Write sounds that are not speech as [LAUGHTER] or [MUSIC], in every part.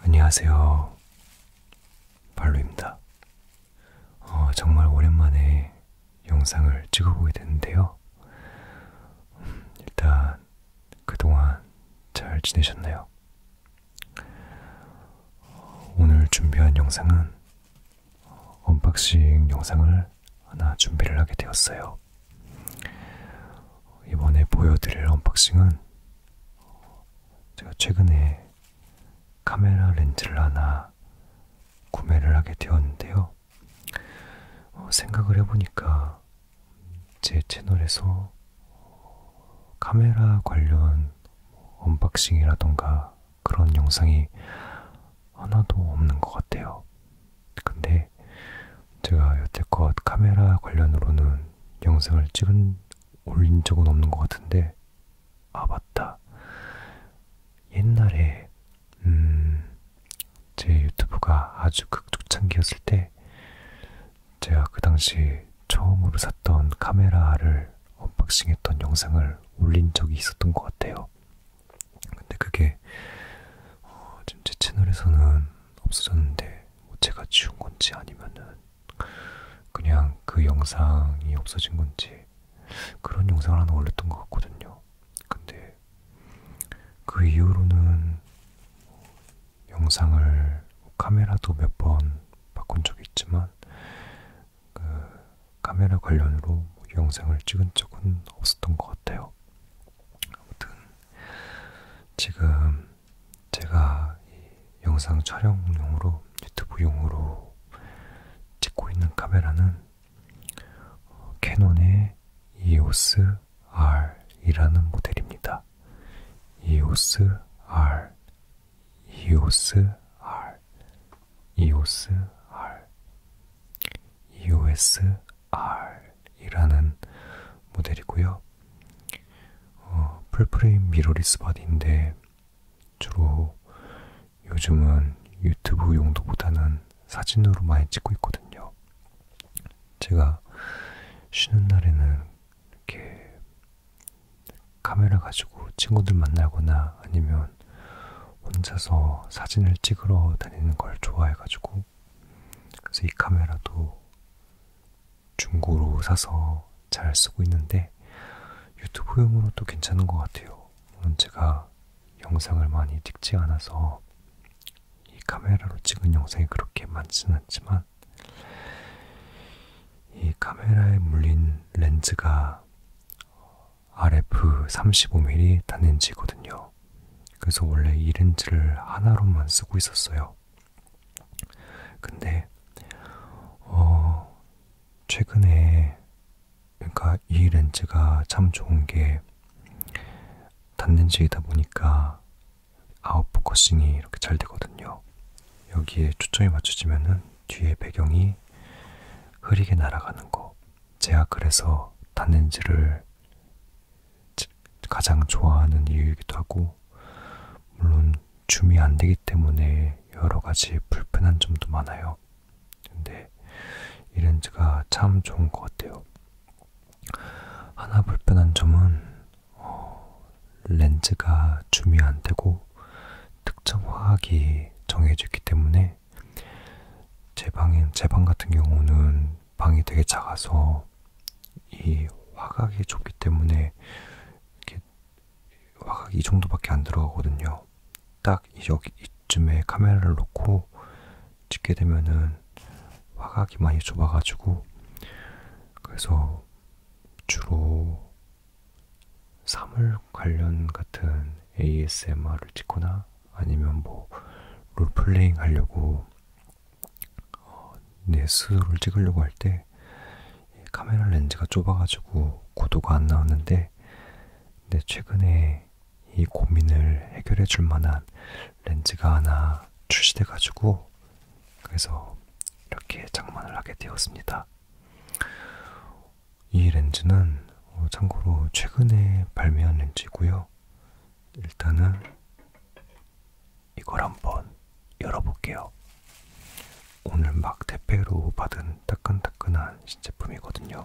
안녕하세요. 발로입니다. 어, 정말 오랜만에 영상을 찍어보게 됐는데요. 음, 일단 그동안 잘 지내셨나요? 오늘 준비한 영상은 언박싱 영상을 하나 준비를 하게 되었어요. 이번에 보여드릴 언박싱은 제가 최근에 카메라 렌즈를 하나 구매를 하게 되었는데요. 어, 생각을 해보니까 제 채널에서 카메라 관련 언박싱이라던가 그런 영상이 하나도 없는 것 같아요. 근데 제가 여태껏 카메라 관련으로는 영상을 찍은 올린 적은 없는 것 같은데 아 맞다 옛날에 음, 제 유튜브가 아주 극초창기였을 때 제가 그 당시 처음으로 샀던 카메라를 언박싱했던 영상을 올린 적이 있었던 것 같아요. 근데 그게 어, 지금 제 채널에서는 없어졌는데 뭐 제가 지운 건지 아니면은 그냥 그 영상이 없어진 건지 그런 영상을 하나 올렸던 것 같거든요. 근데 그 이후로는 영상을 카메라도 몇 번 바꾼 적이 있지만 그 카메라 관련으로 뭐 영상을 찍은 적은 없었던 것 같아요. 아무튼 지금 제가 이 영상 촬영용으로 유튜브용으로 찍고 있는 카메라는 어, 캐논의 EOS R이라는 모델입니다. EOS R 이오스 R 이오스 R EOS R이라는 모델이고요. 어, 풀프레임 미러리스 바디인데 주로 요즘은 유튜브 용도보다는 사진으로 많이 찍고 있거든요. 제가 쉬는 날에는 이렇게 카메라 가지고 친구들 만나거나 아니면 혼자서 사진을 찍으러 다니는 걸 좋아해가지고 그래서 이 카메라도 중고로 사서 잘 쓰고 있는데 유튜브용으로 도 괜찮은 것 같아요. 물론 제가 영상을 많이 찍지 않아서 이 카메라로 찍은 영상이 그렇게 많지는 않지만 이 카메라에 물린 렌즈가 RF 35mm 단렌즈거든요. 그래서 원래 이 렌즈를 하나로만 쓰고 있었어요. 근데 어 최근에 그러니까 이 렌즈가 참 좋은 게 단렌즈이다 보니까 아웃포커싱이 이렇게 잘 되거든요. 여기에 초점이 맞춰지면은 뒤에 배경이 흐리게 날아가는 거. 제가 그래서 단렌즈를 가장 좋아하는 이유이기도 하고, 물론 줌이 안 되기 때문에 여러 가지 불편한 점도 많아요. 근데 이 렌즈가 참 좋은 것 같아요. 하나 불편한 점은 어, 렌즈가 줌이 안 되고 특정 화학이 정해져 있기 때문에 제 방인 제 방 같은 경우는 방이 되게 작아서 이 화각이 좁기 때문에 이렇게 화각이 이 정도밖에 안 들어가거든요. 딱 여기 이쯤에 카메라를 놓고 찍게 되면은 화각이 많이 좁아가지고 그래서 주로 사물 관련 같은 ASMR을 찍거나 아니면 뭐 롤플레잉 하려고 어, 내 스스로를 찍으려고 할 때 카메라 렌즈가 좁아가지고 고도가 안 나오는데 근데 최근에 이 고민을 해결해 줄 만한 렌즈가 하나 출시돼가지고 그래서 이렇게 장만을 하게 되었습니다. 이 렌즈는 참고로 최근에 발매한 렌즈고요. 일단은 이걸 한번 열어볼게요. 오늘 막 택배로 받은 따끈따끈한 신제품이거든요.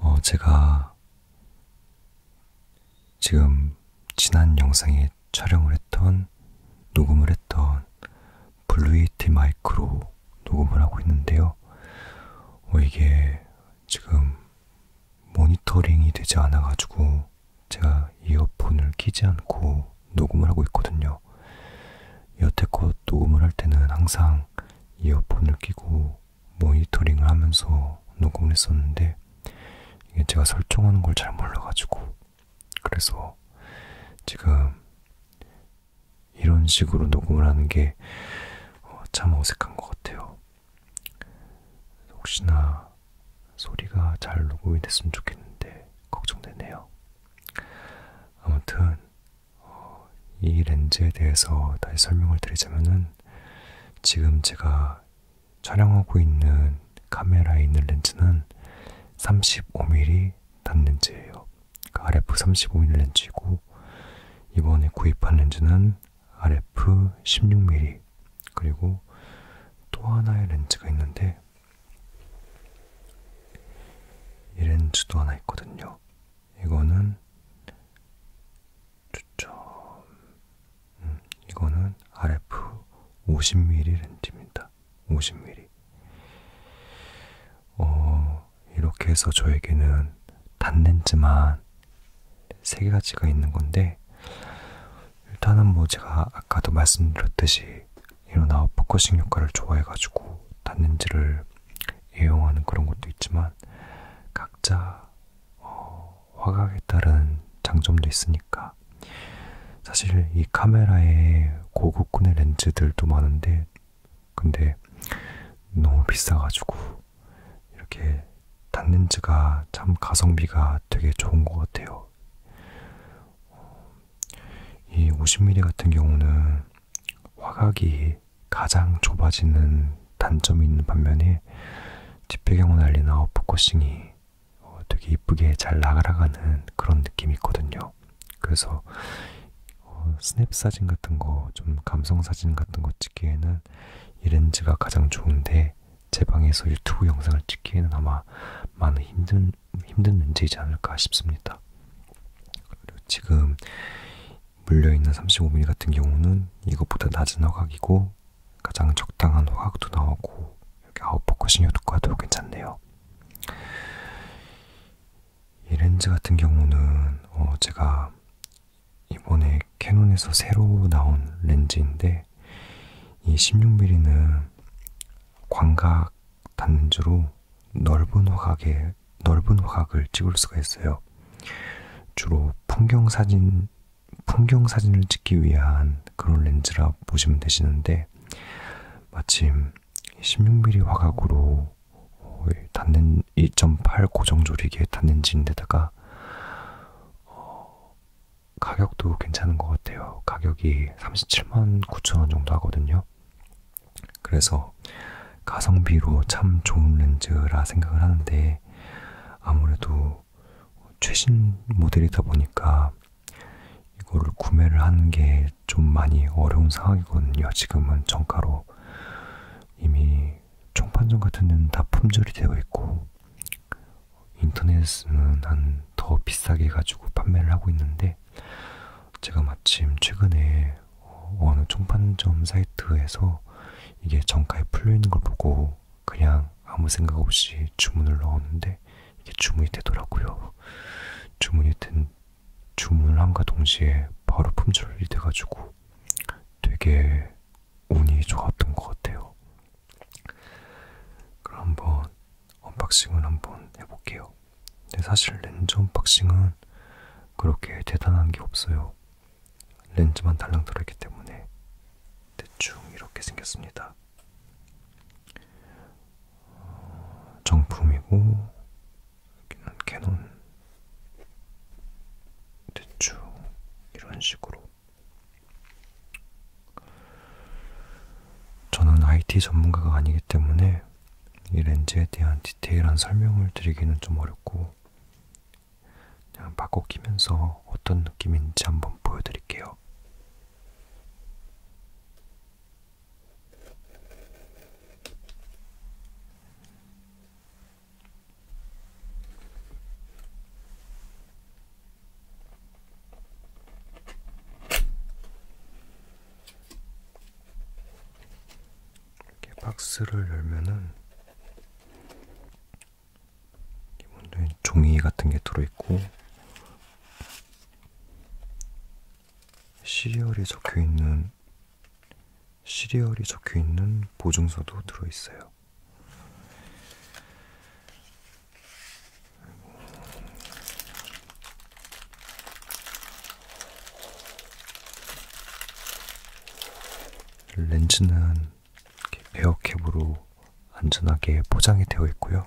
어, 제가 지금 지난 영상에 촬영을 했던, 녹음을 했던 블루이티 마이크로 녹음을 하고 있는데요. 어, 이게 지금 모니터링이 되지 않아가지고 제가 이어폰을 끼지 않고 녹음을 하고 있거든요. 여태껏 녹음을 할 때는 항상 이어폰을 끼고 모니터링을 하면서 녹음을 했었는데 이게 제가 설정하는 걸 잘 몰라가지고 그래서 지금 이런 식으로 녹음을 하는 게 참 어, 어색한 것 같아요. 혹시나 소리가 잘 녹음이 됐으면 좋겠는데 걱정되네요. 아무튼 어, 이 렌즈에 대해서 다시 설명을 드리자면은 지금 제가 촬영하고 있는 카메라에 있는 렌즈는 35mm 단렌즈예요. 그러니까 RF 35mm 렌즈이고 이번에 구입한 렌즈는 RF 16mm 그리고 또 하나의 렌즈가 있는데 이 렌즈도 하나 있거든요. 이거는 초점 음, 이거는 RF 50mm 렌즈입니다. 50mm. 어, 이렇게 해서 저에게는 단렌즈만 3가지가 있는 건데, 일단은 뭐 제가 아까도 말씀드렸듯이 이런 아웃포커싱 효과를 좋아해가지고 단렌즈를 애용하는 그런 것도 있지만, 각자 어, 화각에 따른 장점도 있으니까 사실 이 카메라에 고급군의 렌즈들도 많은데 근데 너무 비싸가지고 이렇게 단렌즈가 참 가성비가 되게 좋은 것 같아요. 어, 이 50mm 같은 경우는 화각이 가장 좁아지는 단점이 있는 반면에 뒷배경을 날리나 포커싱이 어, 되게 이쁘게 잘 나가라가는 그런 느낌이 있거든요. 그래서 어, 스냅 사진 같은 거, 좀 감성 사진 같은 거 찍기에는 이 렌즈가 가장 좋은데 제 방에서 유튜브 영상을 찍기에는 아마 많은 힘든 힘든 렌즈이지 않을까 싶습니다. 그리고 지금 물려있는 35mm 같은 경우는 이것보다 낮은 허각이고 때는 가장 적당한 화학도 나오고 여기 아웃포커싱 효과도 괜찮네요. 이 렌즈 같은 경우는 어 제가 이번에 캐논에서 새로 나온 렌즈인데 이 16mm는 광각 단주로 넓은 화각에 넓은 화각을 찍을 수가 있어요. 주로 풍경 사진 풍경 사진을 찍기 위한 그런 렌즈라 보시면 되시는데 마침 16mm 화각으로 닿는 1.8 고정 조리개 닿는지인데다가 어, 가격도 괜찮은 것 같아요. 가격이 37만 9천 원 정도 하거든요. 그래서 가성비로 참 좋은 렌즈라 생각을 하는데 아무래도 최신 모델이다 보니까 이거를 구매를 하는 게 좀 많이 어려운 상황이거든요. 지금은 정가로 이미 총판정 같은 데는 다 품절이 되어 있고 인터넷은 한 더 비싸게 가지고 판매를 하고 있는데 제가 마침 최근에 어느 총판점 사이트에서 이게 정가에 풀려 있는 걸 보고 그냥 아무 생각 없이 주문을 넣었는데 이게 주문이 되더라고요. 주문이 된 주문을 함과 동시에 바로 품절이 돼가지고 되게 운이 좋았던 것 같아요. 그럼 한번 언박싱을 한번 해볼게요. 근데 사실 렌즈 언박싱은 그렇게 대단한 게 없어요. 렌즈만 달랑 들어있기 때문에 대충 이렇게 생겼습니다. 어, 정품이고 여기는 캐논 대충 이런 식으로 저는 IT 전문가가 아니기 때문에 이 렌즈에 대한 디테일한 설명을 드리기는 좀 어렵고 그냥 마구 끼면서 어떤 느낌인지 한번 보여드릴게요. 이렇게 박스를 열면은 기본적인 종이 같은 게 들어있고 시리얼이 적혀있는 시리얼이 적혀있는 보증서도 들어있어요. 렌즈는 베어캡으로 안전하게 포장이 되어 있고요.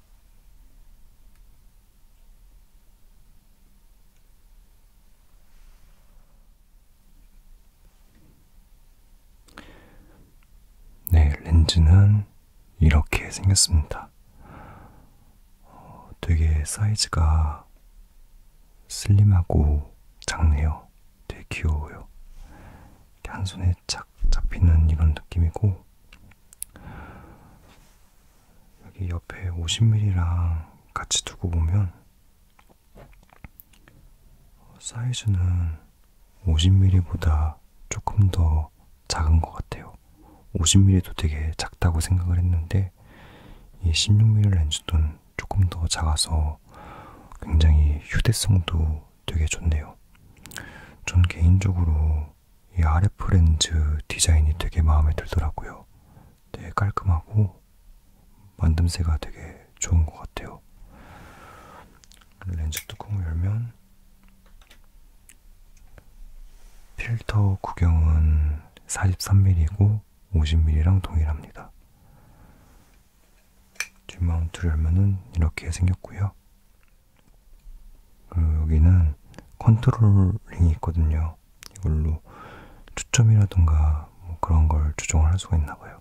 네, 렌즈는 이렇게 생겼습니다. 어, 되게 사이즈가 슬림하고 작네요. 되게 귀여워요. 한 손에 착딱 잡히는 이런 느낌이고 여기 옆에 50mm랑 같이 두고 보면 사이즈는 50mm보다 조금 더 작은 것 같아요. 50mm도 되게 작다고 생각을 했는데 이 16mm 렌즈도 조금 더 작아서 굉장히 휴대성도 되게 좋네요. 전 개인적으로 이 RF 렌즈 디자인이 되게 마음에 들더라고요. 되게 깔끔하고 만듦새가 되게 좋은 것 같아요. 렌즈 뚜껑을 열면 필터 구경은 43mm이고 50mm랑 동일합니다. 뒷마운트를 열면은 이렇게 생겼고요. 여기는 컨트롤링이 있거든요. 이걸로 초점이라던가 뭐 그런 걸 조정을 할 수가 있나 봐요.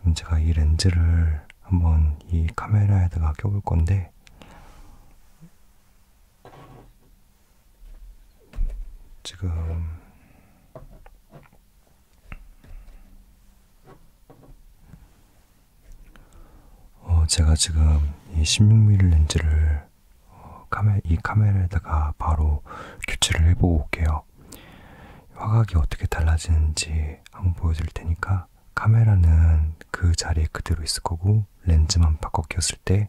그럼 제가 이 렌즈를 한번 이 카메라에다가 껴볼 건데 지금 어, 제가 지금 이 16mm 렌즈를 어, 카메, 이 카메라에다가 바로 교체를 해보고 올게요. 화각이 어떻게 달라지는지 한번 보여드릴 테니까 카메라는 그 자리에 그대로 있을 거고 렌즈만 바꿔 꼈을 때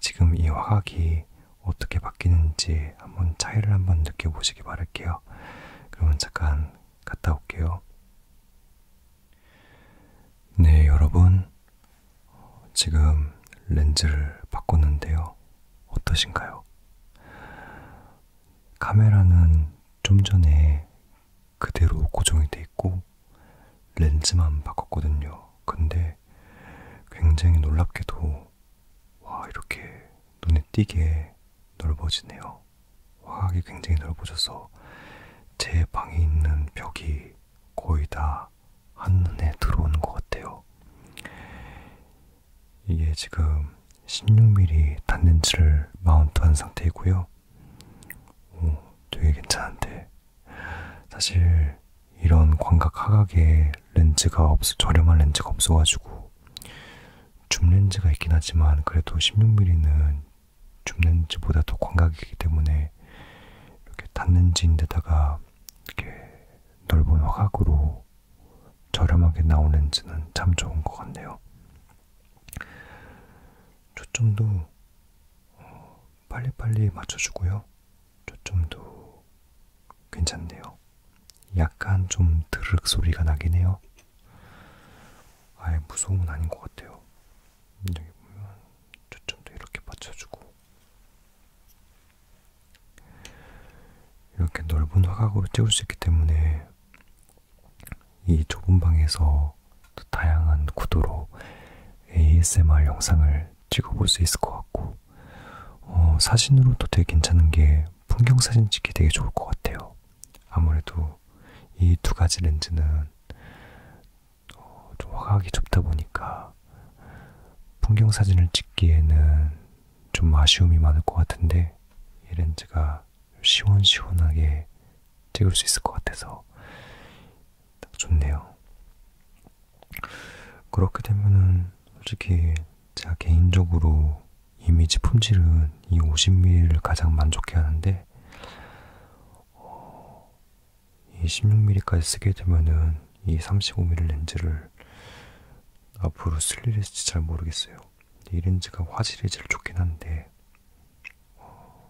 지금 이 화각이 어떻게 바뀌는지 한번 차이를 한번 느껴보시기 바랄게요. 있어요. 그러면 잠깐 갔다 올게요. 네, 여러분. 지금 렌즈를 바꿨는데요. 어떠신가요? 카메라는 좀 전에 그대로 고정이 돼 있고 렌즈만 바꿨거든요. 근데 굉장히 놀랍게도 와 이렇게 눈에 띄게 넓어지네요. 화학이 굉장히 넓어져서 제 방에 있는 벽이 거의 다 한눈에 들어오는 것 같아요. 이게 지금 16mm 단렌즈를 마운트한 상태이고요. 오, 되게 괜찮은데 사실 이런 광각 하각의 렌즈가 없어 저렴한 렌즈가 없어가지고 줌 렌즈가 있긴 하지만 그래도 16mm는 줌 렌즈보다 더 광각이기 때문에 이렇게 단렌즈인데다가 이렇게 넓은 화각으로 저렴하게 나온 렌즈는 참 좋은 것 같네요. 초점도 어, 빨리빨리 맞춰주고요. 초점도 괜찮네요. 약간 좀 드르륵 소리가 나긴 해요. 아예 무서움은 아닌 것 같아요. 여기 보면 초점도 이렇게 받쳐주고 이렇게 넓은 화각으로 찍을 수 있기 때문에 이 좁은 방에서 다양한 구도로 ASMR 영상을 찍어볼 수 있을 것 같고 어, 사진으로도 되게 괜찮은 게 풍경 사진 찍기 되게 좋을 것 같아요. 아무래도 이 두 가지 렌즈는 어, 좀 화각이 좁다 보니까 풍경 사진을 찍기에는 좀 아쉬움이 많을 것 같은데 이 렌즈가 시원시원하게 찍을 수 있을 것 같아서 딱 좋네요. 그렇게 되면은 솔직히 제가 개인적으로 이미지 품질은 이 50mm를 가장 만족해 하는데 어, 이 16mm까지 쓰게 되면은 이 35mm 렌즈를 앞으로 쓸 일이 있을지 잘 모르겠어요. 이 렌즈가 화질이 제일 좋긴 한데 어,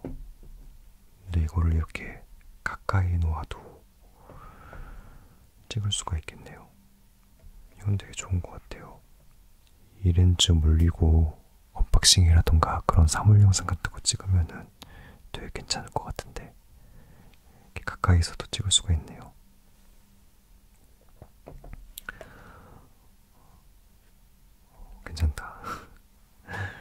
근데 이거를 이렇게 가까이 놓아도 찍을 수가 있겠네요. 이건 되게 좋은 것 같아요. 이 렌즈 물리고 언박싱이라던가 그런 사물 영상 같은 거 찍으면은 되게 괜찮을 것 같은데 이렇게 가까이서도 찍을 수가 있네요. 괜찮다. [LAUGHS]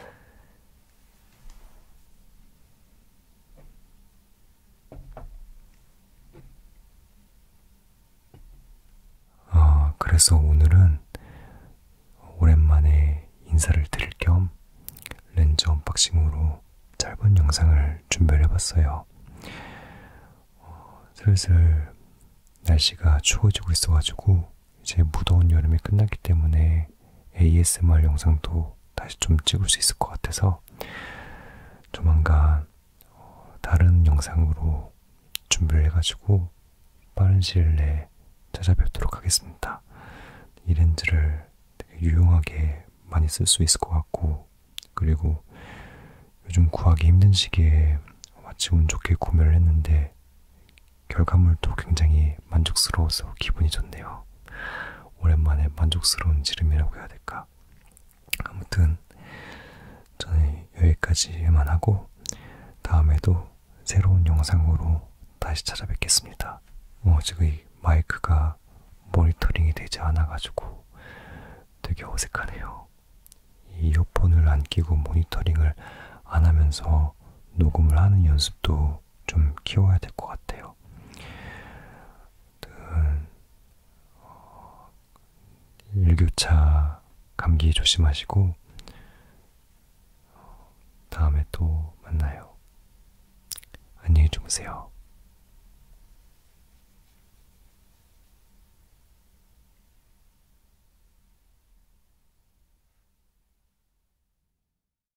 아, 그래서 오늘은 오랜만에 인사를 드릴 겸 렌즈 언박싱으로 짧은 영상을 준비를 해봤어요. 어, 슬슬 날씨가 추워지고 있어가지고 이제 무더운 여름이 끝났기 때문에 ASMR 영상도 다시 좀 찍을 수 있을 것 같아서 조만간 어, 다른 영상으로 준비를 해가지고 빠른 시일 내에 찾아뵙도록 하겠습니다. 이 렌즈를 되게 유용하게 많이 쓸 수 있을 것 같고 그리고 요즘 구하기 힘든 시기에 마치 운 좋게 구매를 했는데 결과물도 굉장히 만족스러워서 기분이 좋네요. 오랜만에 만족스러운 지름이라고 해야 될까? 아무튼 저는 여기까지만 하고 다음에도 새로운 영상으로 다시 찾아뵙겠습니다. 어, 지금 이 마이크가 모니터링이 되지 않아가지고 되게 어색하네요. 이어폰을안 끼고 모니터링을 안 하면서 녹음을 하는 연습도 정도로 좀 키워야 될 것 같아요. 어, 일교차 감기 조심하시고 어, 다음에 또 만나요. 안녕히 주무세요.